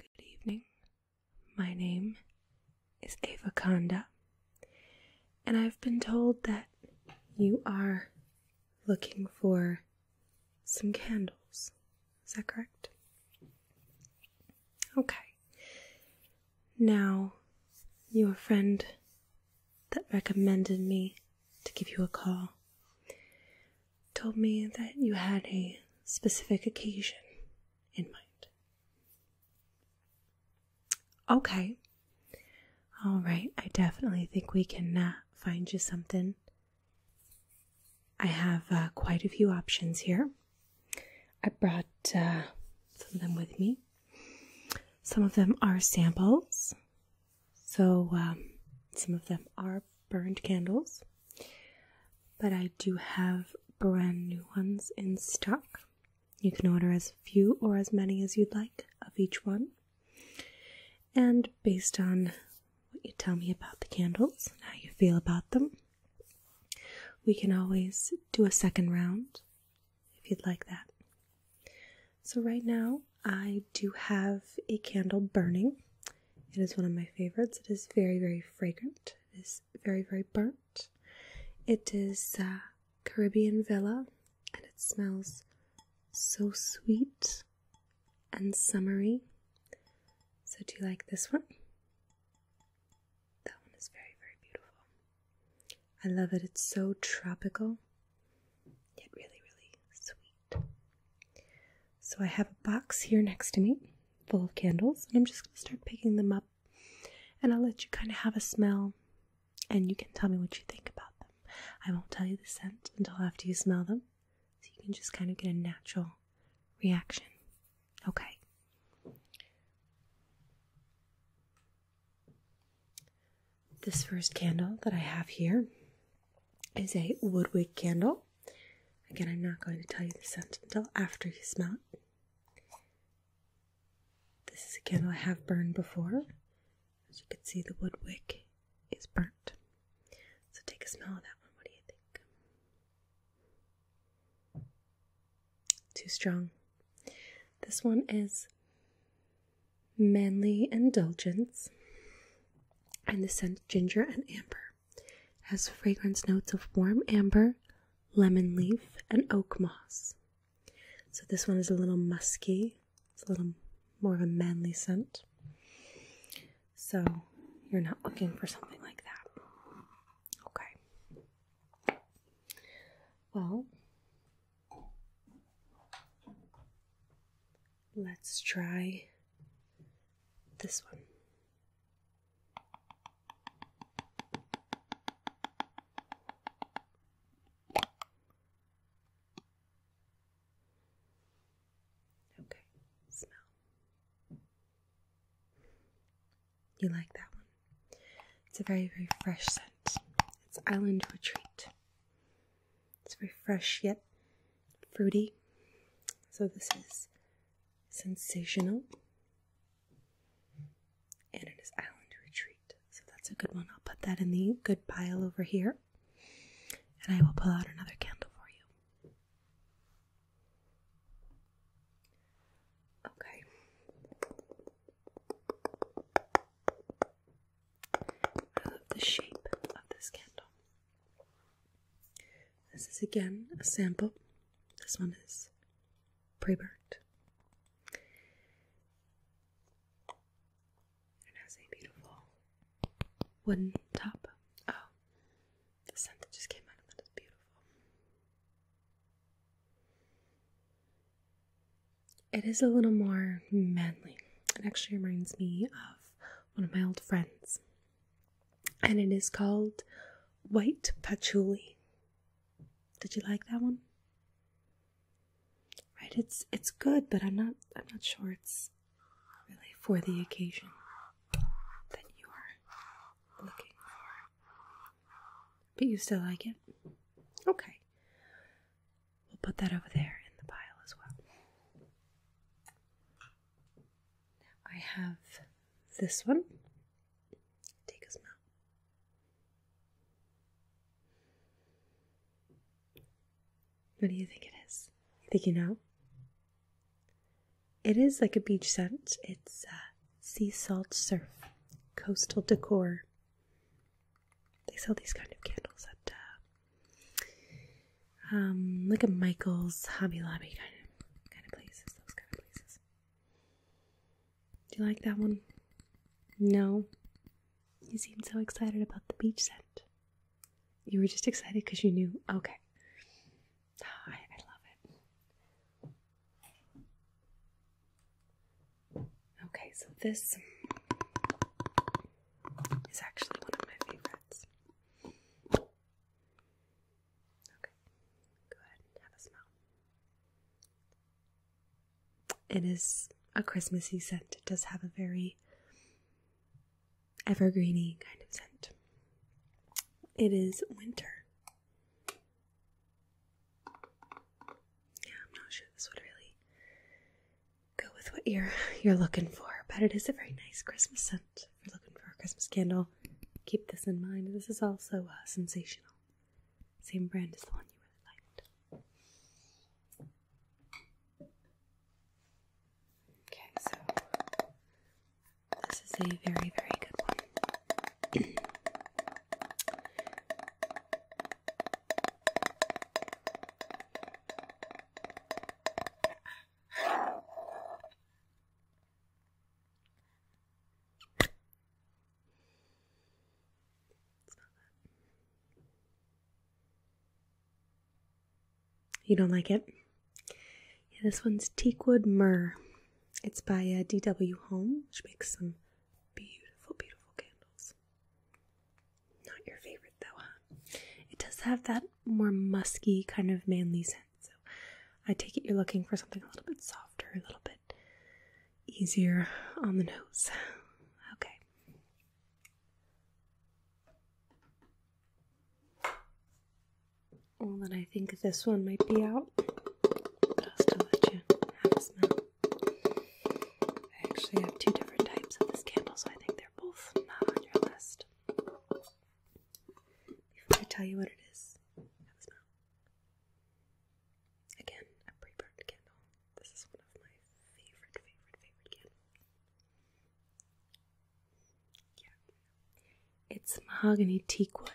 Good evening. My name is Ava Conda, and I've been told that you are looking for some candles. Is that correct? Okay. Now, your friend that recommended me to give you a call told me that you had a specific occasion in mind. Okay. All right. I definitely think we can uh, find you something. I have uh, quite a few options here. I brought uh, some of them with me. Some of them are samples, so, um, some of them are burned candles, but I do have brand new ones in stock. You can order as few or as many as you'd like of each one. And based on what you tell me about the candles and how you feel about them, we can always do a second round if you'd like that. So, right now, I do have a candle burning. It is one of my favorites. It is very, very fragrant. It is very, very burnt. It is uh, Caribbean Villa and it smells so sweet and summery. So, do you like this one? That one is very, very beautiful. I love it. It's so tropical, yet really, really sweet. So I have a box here next to me full of candles, and I'm just going to start picking them up. And I'll let you kind of have a smell, and you can tell me what you think about them. I won't tell you the scent until after you smell them, so you can just kind of get a natural reaction. Okay. This first candle that I have here is a woodwick candle. Again, I'm not going to tell you the scent until after you smell it. This is a candle I have burned before. As you can see, the wood wick is burnt. So take a smell of that one. What do you think? Too strong. This one is Manly Indulgence and the scent ginger and amber. Has fragrance notes of warm amber, lemon leaf, and oak moss. So this one is a little musky. It's a little more of a manly scent. So you're not looking for something like that. Okay. Well, Let's try this one. Okay, smell. You like that one? It's a very, very fresh scent. It's Island Retreat. It's very fresh yet fruity. So this is sensational. And it is Island Retreat. So that's a good one. I'll put that in the good pile over here. And I will pull out another candle for you. Okay. I love the shape of this candle. This is again a sample. This one is pre burnt. It has a beautiful wooden top. Oh, the scent that just came out of it is beautiful. It is a little more manly. It actually reminds me of one of my old friends and it is called White Patchouli. Did you like that one? Right, it's it's good, but I'm not I'm not sure it's really for the occasion that you are looking for. But you still like it? Okay. We'll put that over there in the pile as well. I have this one. Take a smell. What do you think it is? You think you know? It is like a beach scent. It's uh, sea salt surf, coastal decor. They sell these kind of candles at uh, um, like a Michaels, Hobby Lobby kind of kind of places. Those kind of places. Do you like that one? No. You seemed so excited about the beach scent. You were just excited because you knew. Okay. Oh, I love it. Okay, so this is actually one of my favorites. Okay, go ahead have a smell. It is a Christmassy scent. It does have a very evergreeny kind of scent. It is winter. Yeah, I'm not sure this would really go with what you're you're looking for, but it is a very nice Christmas scent if you're looking for a Christmas candle, keep this in mind. This is also uh, sensational. Same brand as the one you really liked. Okay, so this is a very, very good one. You don't like it? Yeah, this one's Teakwood Myrrh. It's by uh, D.W. Home, which makes some beautiful, beautiful candles. Not your favorite, though, huh? It does have that more musky kind of manly scent. So I take it you're looking for something a little bit softer, a little bit easier on the nose. Okay. Well, then I think this one might be out. But I'll still let you have a smell. I actually have two different types of this candle, so I think they're both not on your list. Before I tell you what it is, have a smell. Again, a pre-burned candle. This is one of my favorite, favorite, favorite candles. Yeah. It's mahogany teakwood.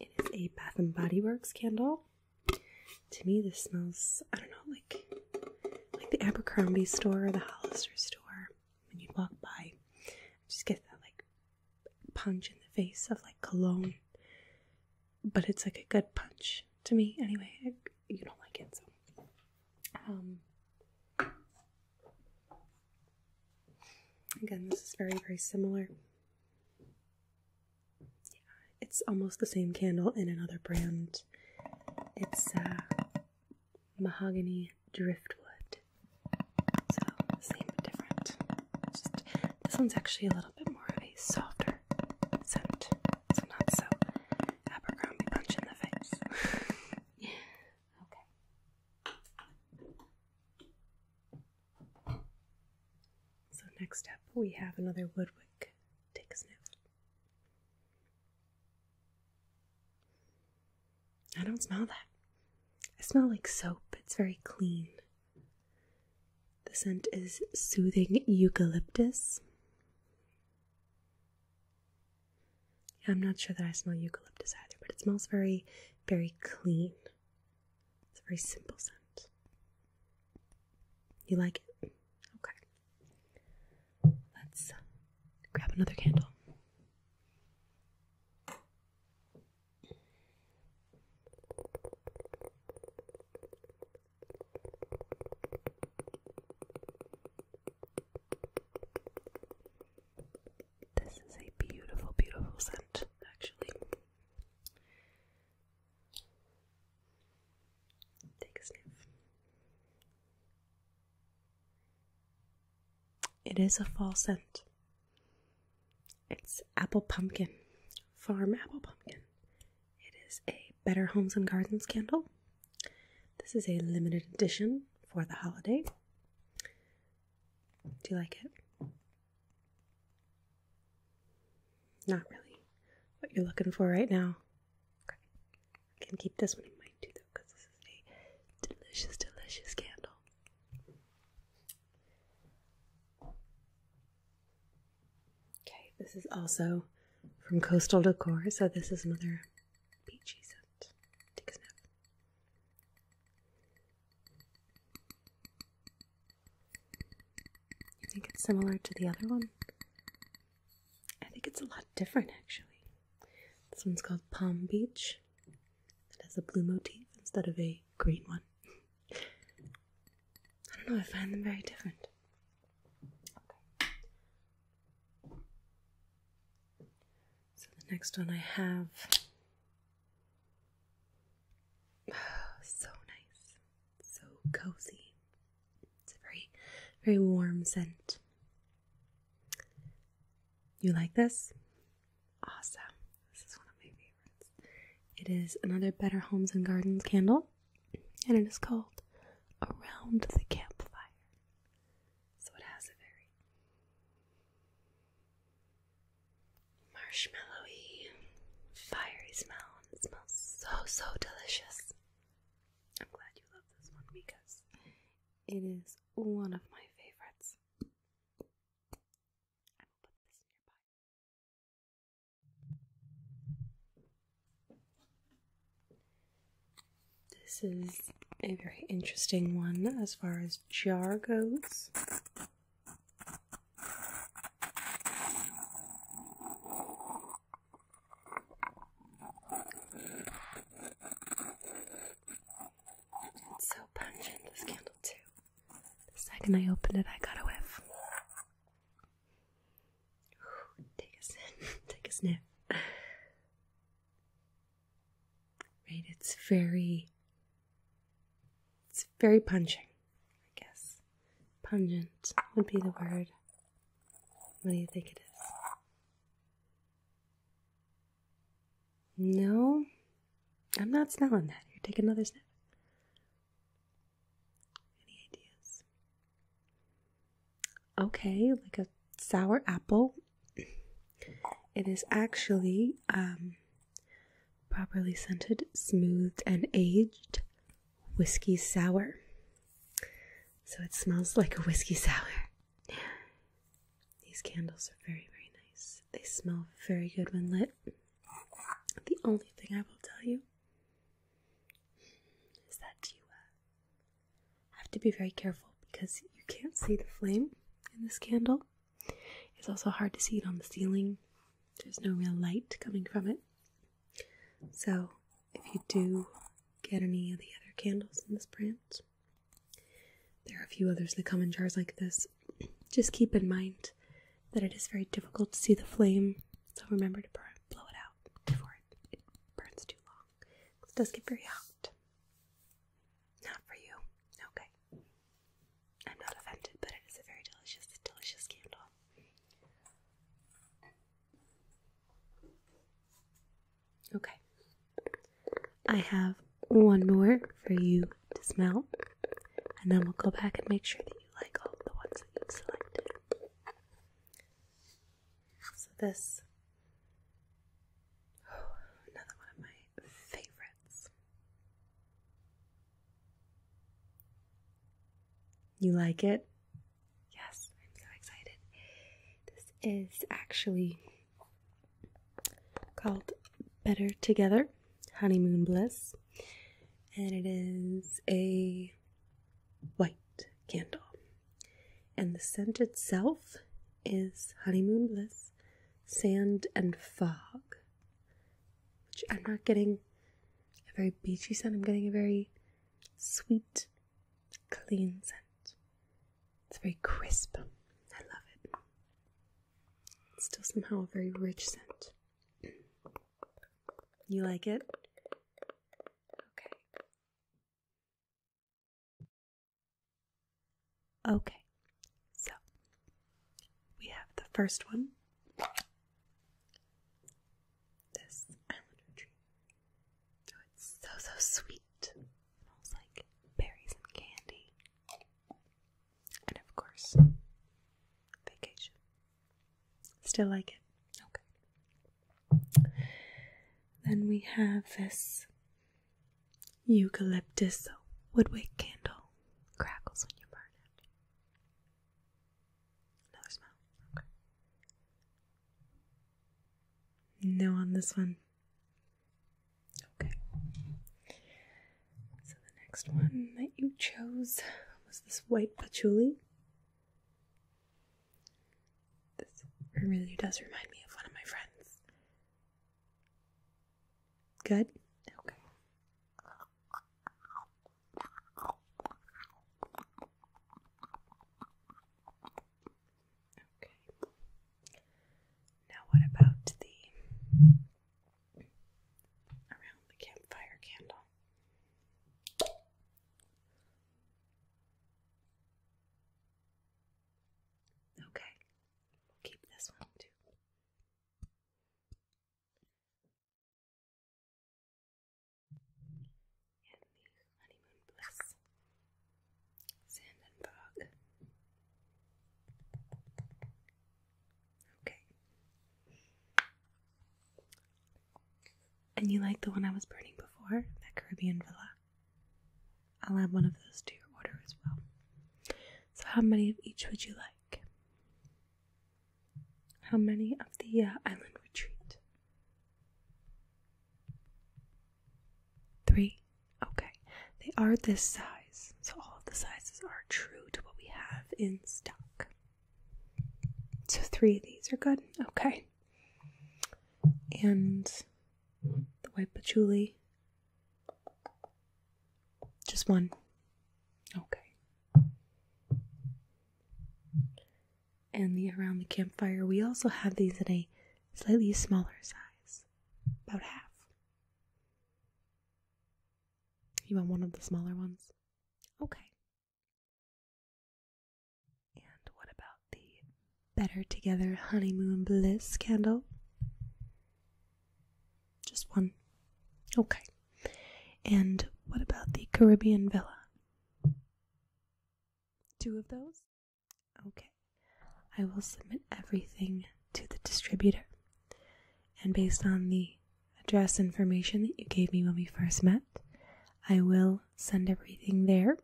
It is a Bath and Body Works candle. To me, this smells, I don't know, like like the Abercrombie store or the Hollister store when you walk by. just get that like punch in the face of like cologne, but it's like a good punch to me anyway. you don't like it, so um, Again, this is very, very similar. Yeah, it's almost the same candle in another brand. It's uh, mahogany driftwood. So same but different. this one's actually a little bit more of a softer scent, so not so Abercrombie punch in the face. okay. So next up, we have another Woodwick. Take a sniff. I don't smell that. I smell like soap. It's very clean. The scent is soothing eucalyptus. I'm not sure that I smell eucalyptus either, but it smells very, very clean. It's a very simple scent. You like it? Okay. Let's grab another candle. This is a beautiful, beautiful scent, actually. Take a sniff. It is a fall scent. It's apple pumpkin, farm apple pumpkin. It is a Better Homes and Gardens candle. This is a limited edition for the holiday. Do you like it? Not really what you're looking for right now. I can keep this one in mind too, though, because this is a delicious, delicious candle. Okay, this is also from Coastal Decor, so this is another peachy scent. Take a snap. You think it's similar to the other one? I think it's a lot different, actually. This one's called Palm Beach. It has a blue motif instead of a green one. I don't know, I find them very different. Okay. So the next one I have. Oh, so nice. So cozy. It's a very, very warm scent. You like this? Awesome. This is one of my favorites. It is another Better Homes and Gardens candle, and it is called Around the Campfire. So it has a very marshmallowy, fiery smell, it smells so, so delicious. I'm glad you love this one because it is one of my favorites. I will put this nearby. This is a very interesting one as far as jar goes. It's so pungent, this candle, too. The second I opened it, I got a whiff. take a sniff. Right, it's very, it's very pungent. I guess. Pungent would be the word. What do you think it is? No, I'm not smelling that. You take another sniff. Any ideas? Okay, like a sour apple. It is actually um, properly scented, smoothed, and aged whiskey sour. So it smells like a whiskey sour. These candles are very, very nice. They smell very good when lit. The only thing I will tell you is that you uh, have to be very careful because you can't see the flame in this candle. It's also hard to see it on the ceiling, there's no real light coming from it. So, if you do get any of the other candles in this brand, there are a few others that come in jars like this. Just keep in mind that it is very difficult to see the flame, so remember to burn, blow it out before it, it burns too long. It does get very hot. Not for you. Okay. I'm not offended, but it is a very delicious, delicious candle. Okay. I have one more for you to smell, and then we'll go back and make sure that you like all the ones that you've selected. So, this, oh, another one of my favorites. You like it? Yes, I'm so excited. This is actually called Better Together Honeymoon Bliss, and it is a white candle. And the scent itself is Honeymoon Bliss Sand and Fog, which I'm not getting a very beachy scent, I'm getting a very sweet, clean scent. It's very crisp. I love it. still somehow a very rich scent. You like it? Okay. Okay. So, we have the first one. This island tree. Oh, it's so, so sweet. Smells like berries and candy. And of course, vacation. Still like it? Okay. Then we have this eucalyptus woodwick candle. Crackles when you burn it. Another smell. No on this one. Okay. So the next one that you chose was this white patchouli. This really does remind me of one of my friends. Good? Okay. Okay. Now, what about the around the campfire candle? Okay, keep this one too. And the Sandenberg. Okay. And you like the one I was burning before, that Caribbean Villa? I'll add one of those to your order as well. So, how many of each would you like? How many of the uh, island retreat? Three? Okay. They are this size, so all of the sizes are true to what we have in stock. So three of these are good. Okay. And the white patchouli. Just one. Okay. And the around the campfire, we also have these in a slightly smaller size about half. You want one of the smaller ones? Okay. And what about the Better Together Honeymoon Bliss candle? Just one. Okay. And what about the Caribbean Villa? Two of those? Okay, I will submit everything to the distributor. And based on the address information that you gave me when we first met, I will send everything there.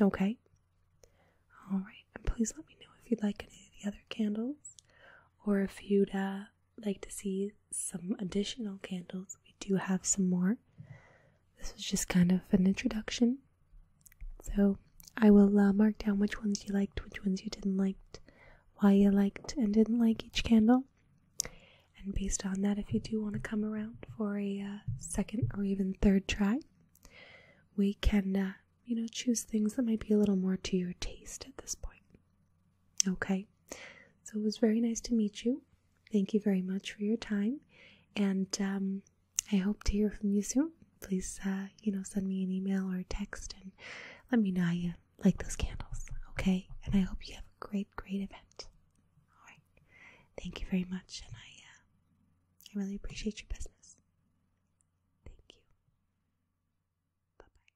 Okay? Alright, and please let me know if you'd like any of the other candles or if you'd uh, like to see some additional candles. We do have some more. This was just kind of an introduction so I will uh, mark down which ones you liked, which ones you didn't like, why you liked and didn't like each candle. And based on that, if you do want to come around for a uh, second or even third try, we can, uh, you know, choose things that might be a little more to your taste at this point. Okay, so it was very nice to meet you. Thank you very much for your time. And um, I hope to hear from you soon. Please, uh, you know, send me an email or text and let me know how you like those candles, okay? And I hope you have a great, great event. All right. Thank you very much, and I, uh, I really appreciate your business. Thank you. Bye bye.